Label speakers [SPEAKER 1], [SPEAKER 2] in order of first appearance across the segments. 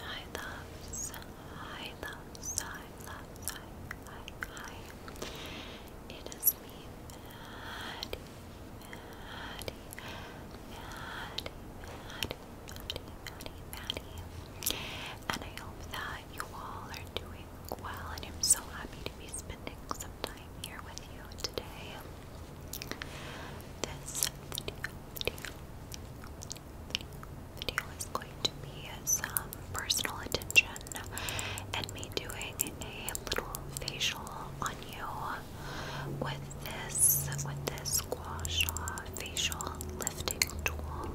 [SPEAKER 1] Hi loves, hi loves, hi loves, hi, hi, hi. It is me, Maddie, Maddie, Maddie, Maddie, Maddie, Maddie, Maddie. And I hope that you all are doing well and I'm so happy to be spending some time here with you today. This video, video, video is going to be some personal attention and me doing a little facial on you with this with this gua facial lifting tool.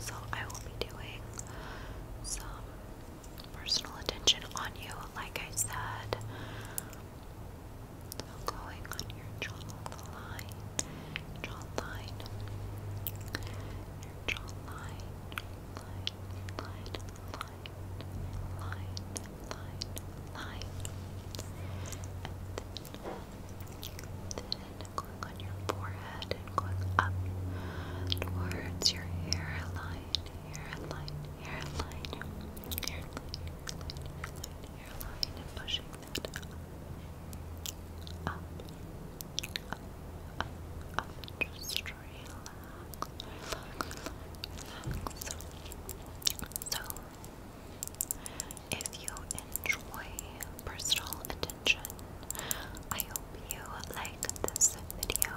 [SPEAKER 1] So, I will be doing some personal attention on you, like I said. going on your jawline, jawline, your jawline, line, line, line, line, line, line, then going on your forehead and going up towards your hairline, hairline, hairline, hairline, hairline, hairline, and pushing that up, up, up, up, up. just relax, relax, relax. So, so if you enjoy personal attention, I hope you like this video.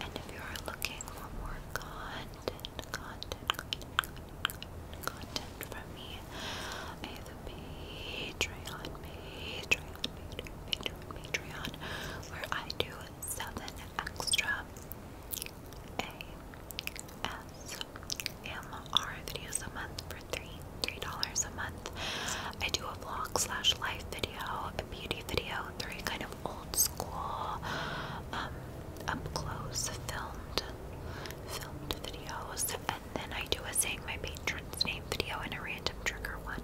[SPEAKER 1] And if you are looking for more content, content, content, content, content from me, I have a Patreon, Patreon, Patreon, Patreon, where I do seven extra. A S ASMR videos a month for three three dollars a month. I do a vlog slash life video, a beauty video, very kind of old school, um, up close filmed filmed videos, and then I do a saying my patron's name video and a random trigger one.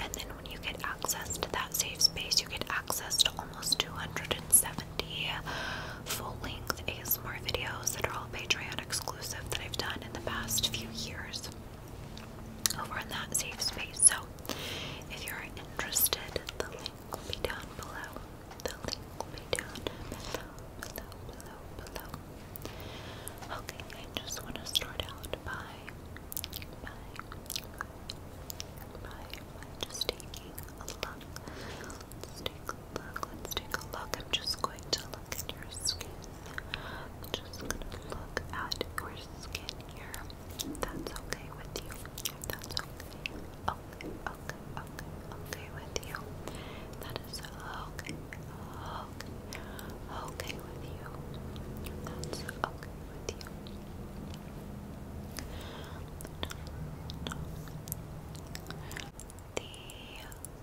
[SPEAKER 1] And then when you get access to that safe space, you get access to almost two hundred and seven. 70 full length ASMR videos that are all Patreon exclusive that I've done in the past few years over in that safe space. So if you're interested, the link will be down below. The link will be down below, below, below, below. Okay, I just want to start out by, by, by just taking a look, Let's take a look. Let's take a look. I'm just going to look at your skin. I'm just going to look at your skin here. that's okay with you. that's okay. Okay, okay, okay, okay with you. That is okay. Okay. Okay with you. That's okay with you the,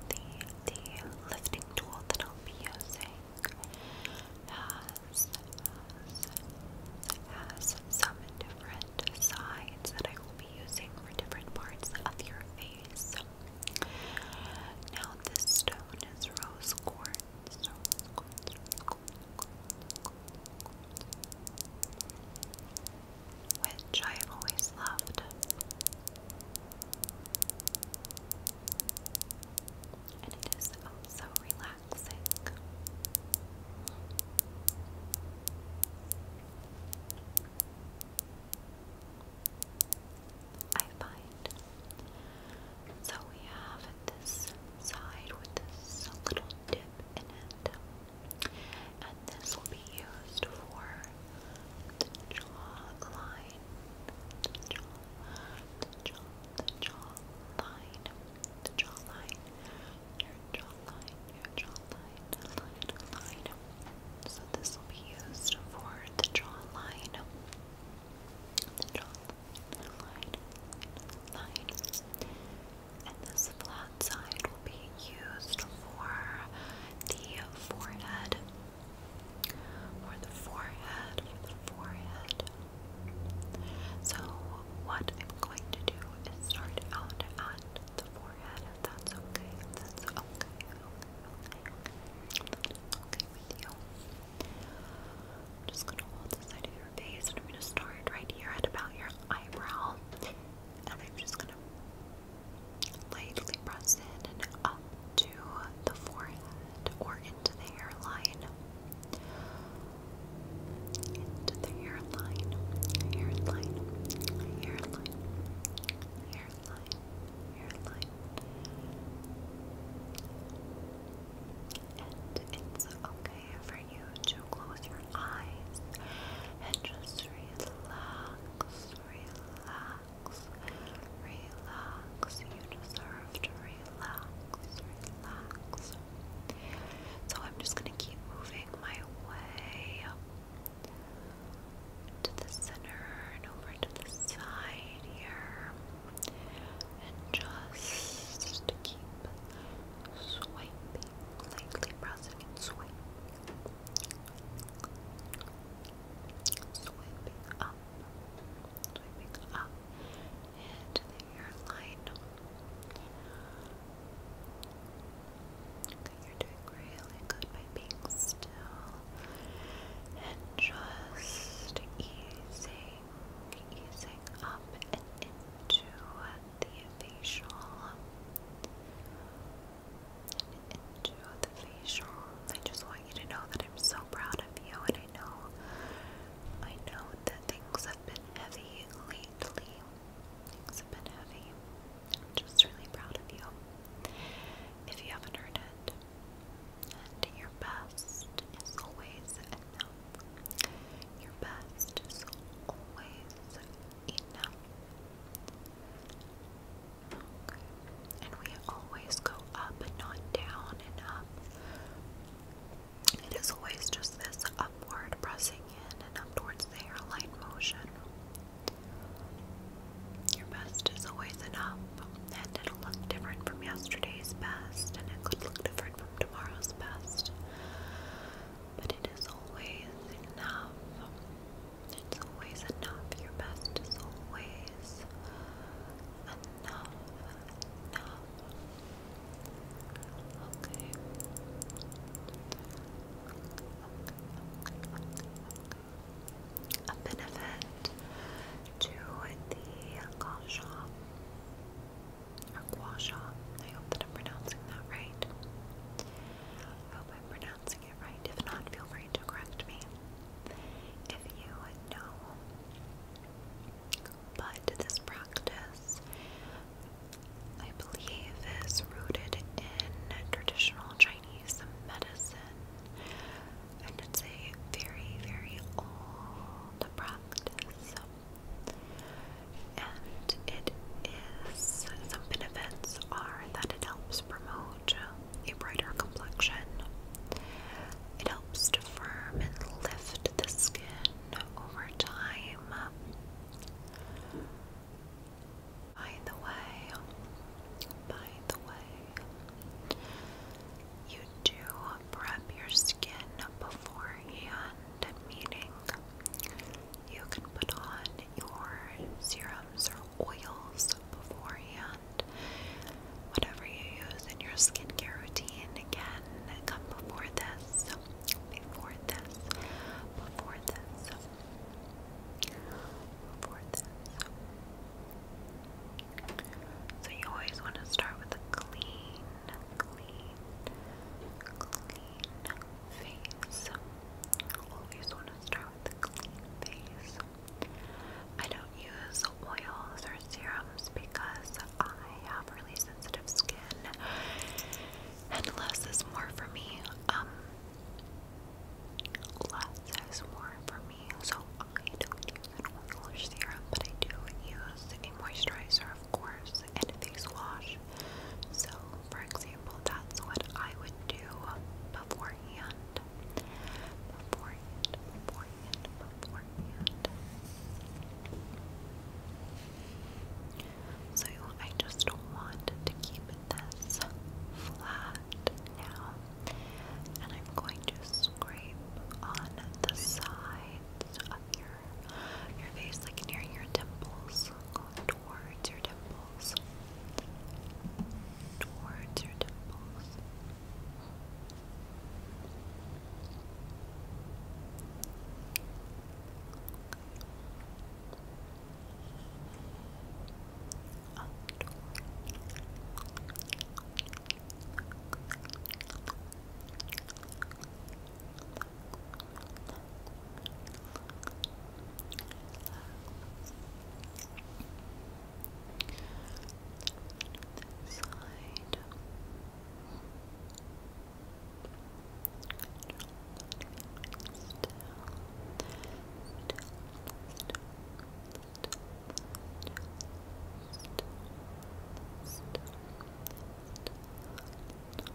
[SPEAKER 1] the, the lifting tool that I'll be using has, has, has some different sides that I will be using for different parts of your face. Now this stone is rose quartz, which I have always loved. And it is also relaxing. I find. So we have this side with this little dip in it and this will be used for the jaw the jaw, the jaw, the jaw the jaw your jaw your jaw line, So this will be used for the jaw line, the jaw line, And this flower that side will be used for the forehead. For the forehead, the forehead. So, what I'm going to do is start out at the forehead, if that's okay, that's okay, okay, okay, okay, okay with you. I'm just going to hold the side of your face and I'm going to start right here at about your eyebrow. And I'm just going to lightly press in up to the forehead or into the hairline. Into the hairline, hairline, hairline, hairline, hairline. And it's okay for you to close your eyes and just relax, relax, relax. You deserve to relax, relax. So I'm just going to keep moving my way to the center and over to the side here. And just to keep swiping, lightly pressing and swiping, Sweeping up, sweeping up into the hairline. Okay, you're doing really good by being still and just easing, easing up into the facial into the facial. I just want you to know that I'm so proud of you, and I know, I know that things have been heavy lately. Things have been heavy. I'm just really proud of you. If you haven't heard it, your best is always enough. Your best is always enough. And we always go up and not down and up. It is always just this upward pressing in and up towards the hairline motion. Your best is always enough, and it'll look different from yesterday's best, and it could look different from tomorrow's best. But it is always enough. It's always enough. Your best is always enough. Enough. Okay. A benefit to the gua or gua I hope that I'm pronouncing that right pronouncing it right. If not, feel free to correct me if you know. But this practice, I believe, is rooted in traditional Chinese medicine. And it's a very, very old practice. And it is, some benefits are that it helps promote a brighter complexion. It helps to firm and lift the skin over time. By the way, by the way, you do prep your skin beforehand, meaning you can put on your serums or oils beforehand. Whatever you use in your skincare routine can come before this, before this, before this, before this. So you always want to start with a clean, clean, clean, face. Always want to start with clean face. I don't use oils or serums because I have really sensitive skin, and less is more for me. Um, less more for me, so I don't use an oil or serum, but I do use a moisturizer, of course, and a face wash. So, for example, that's what I would do beforehand. Beforehand, beforehand, beforehand. So, I just want to keep this flat now. And I'm going to scrape on the sides of your your face, like near your temples towards your dimples. Towards your dimples side. Still, okay.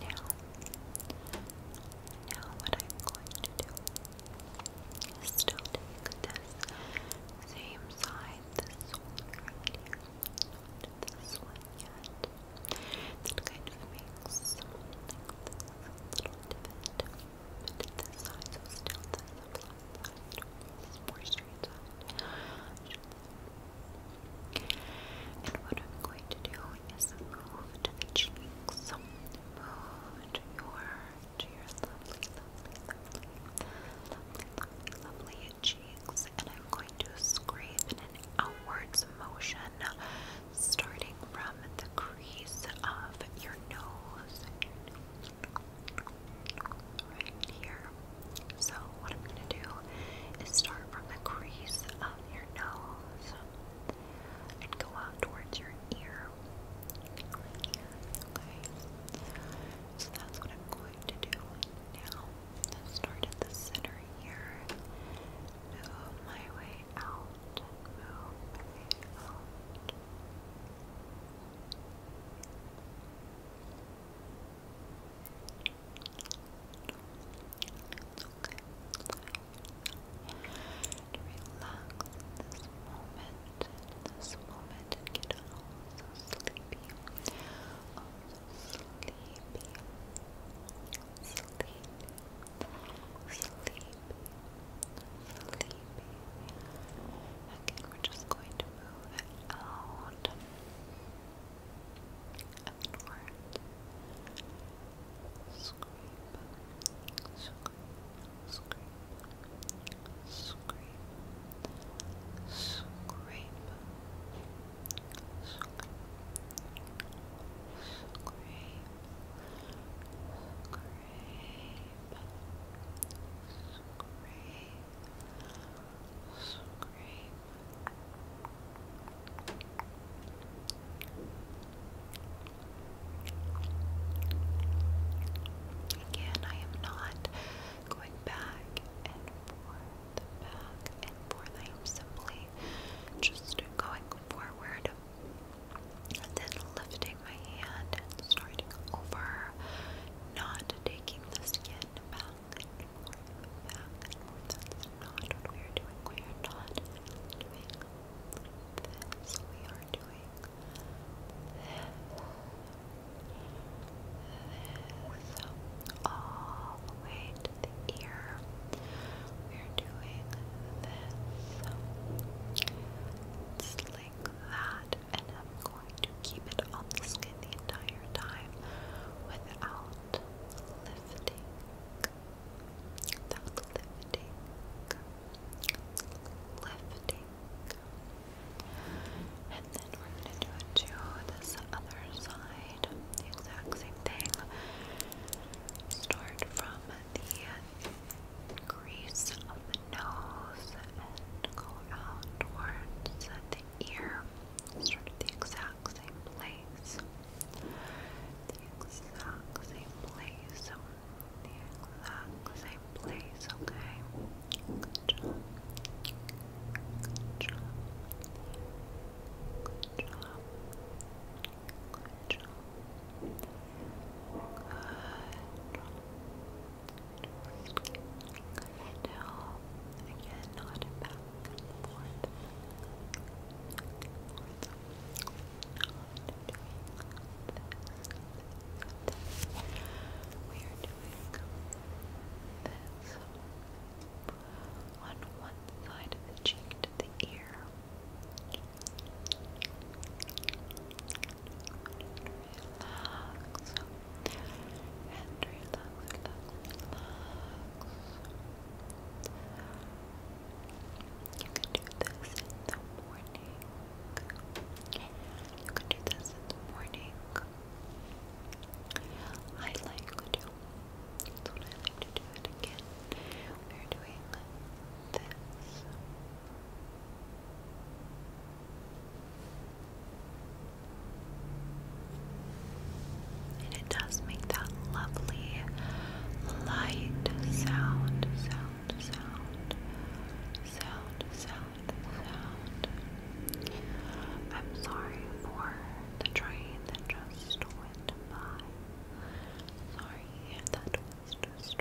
[SPEAKER 1] Now, now what I'm going to do is still take this same side, this one this one yet. That kind of makes like a little divot. And what I'm going to do is move the cheeks. your lovely cheeks. And I'm going to scrape in an outwards motion starting from the crease of your nose right here. So, what I'm going to do is start from the crease of your nose and go out towards your ear. Okay, so that's what I'm going to do now. Start at the center here, my way out out and okay. And relax this moment, this moment, get all so sleepy, so sleepy, sleepy, Sleepy. Sleepy. Again, we're just going to move out scrape, scrape, scrape, scrape, scrape, scrape. Again, I am not going back and forth, back and forth. I am simply just going forward and then lifting my hand and starting over, not taking the skin back and and That's not what we are doing. We are not doing this. We are doing This all the way to the ear we're doing this just that and I'm going to keep it on the skin the entire time without lifting without lifting lifting and then we're going to do this other side exact same thing start from the grease of the nose and go out towards the ear, the exact same place. The exact same place. The exact same place, okay? Now, again, not back and forth. We are doing this on one side of the cheek to the ear, Relax and relax, relax, relax. You can do this in the morning. You can do this in the morning. I like to I like to do it again. We're doing this. And it does make that lovely light sound, sound, sound, sound, sound, sound. I'm sorry for the train that just went by. Sorry that was just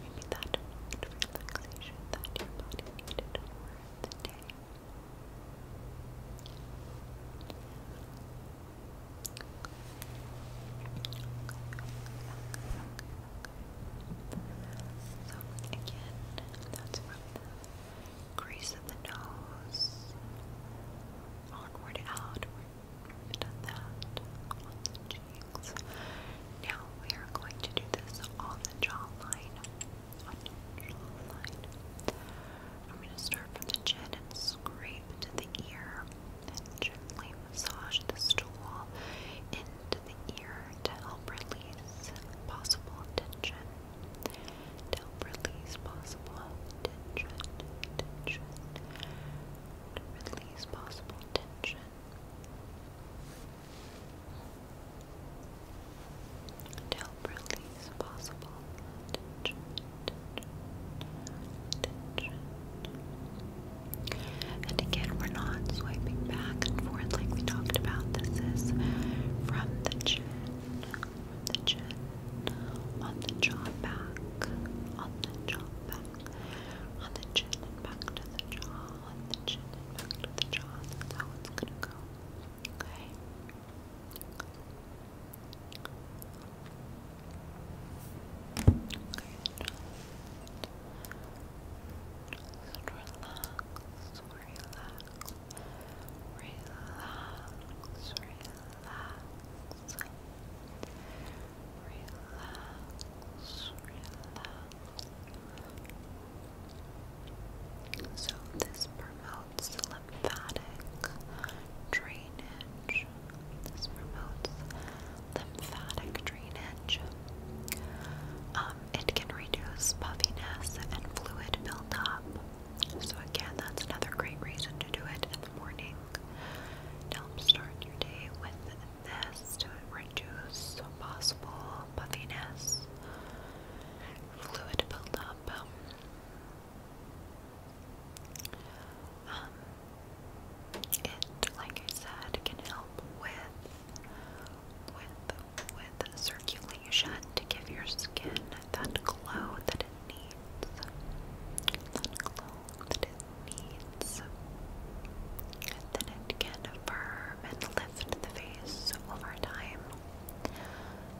[SPEAKER 1] Maybe that amount of relaxation that your body needed over the day. So again, that's from crease of the nose, onward, outward, we've done that on the cheeks. Now we are going to do this on the jawline, I'm going to start from the chin scrape to the ear, and gently massage the stool into the ear to help release possible tension help release possible tension, release possible tension. help release possible tension. And again, we're not swiping back and forth like we talked about. This is from the chin the chin, on the jaw back, on the jaw back, on the chin and back to the jaw, on the chin and back to the jaw. That's how it's gonna go. Okay. Okay. Just relax, relax, relax, relax, relax, relax. So this promotes lymphatic drainage. This promotes lymphatic drainage. Um, it can reduce puffiness and fluid buildup. So, again, that's another great reason to do it in the morning. It helps start your day with this to reduce possible puffiness, fluid buildup. Um, it, like I said, can help with with with circulation to give your skin that glow that it needs. That glow that it needs. And then it can firm and lift the face over time.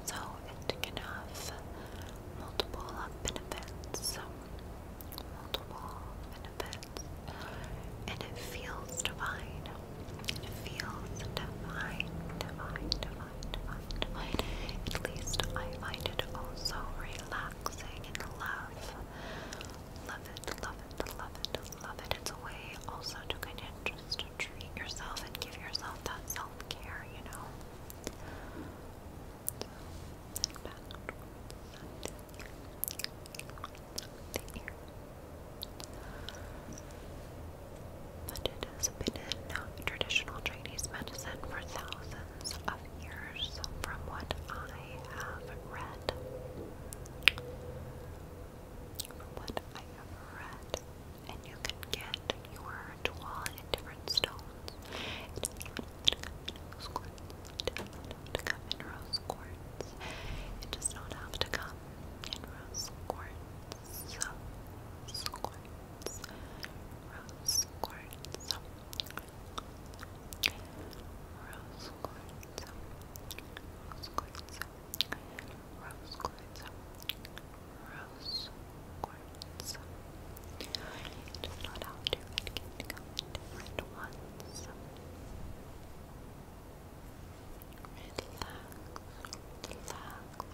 [SPEAKER 1] So it can have multiple benefits. Multiple benefits. And it feels divine. It feels divine, divine find, At least I find it also relaxing and love. Love it, love it, love it, love it. It's a way also to kind of just treat yourself and give yourself that self care, you know but it has been in traditional Chinese medicine for thousands of years, from what I have read. From what I have read, and you can get your tool different stones. rose quartz. It does not have to come in rose quartz rose quartz, rose quartz, rose quartz, rose quartz, rose quartz, rose quartz. I don't how to get different ones. Relax, relax.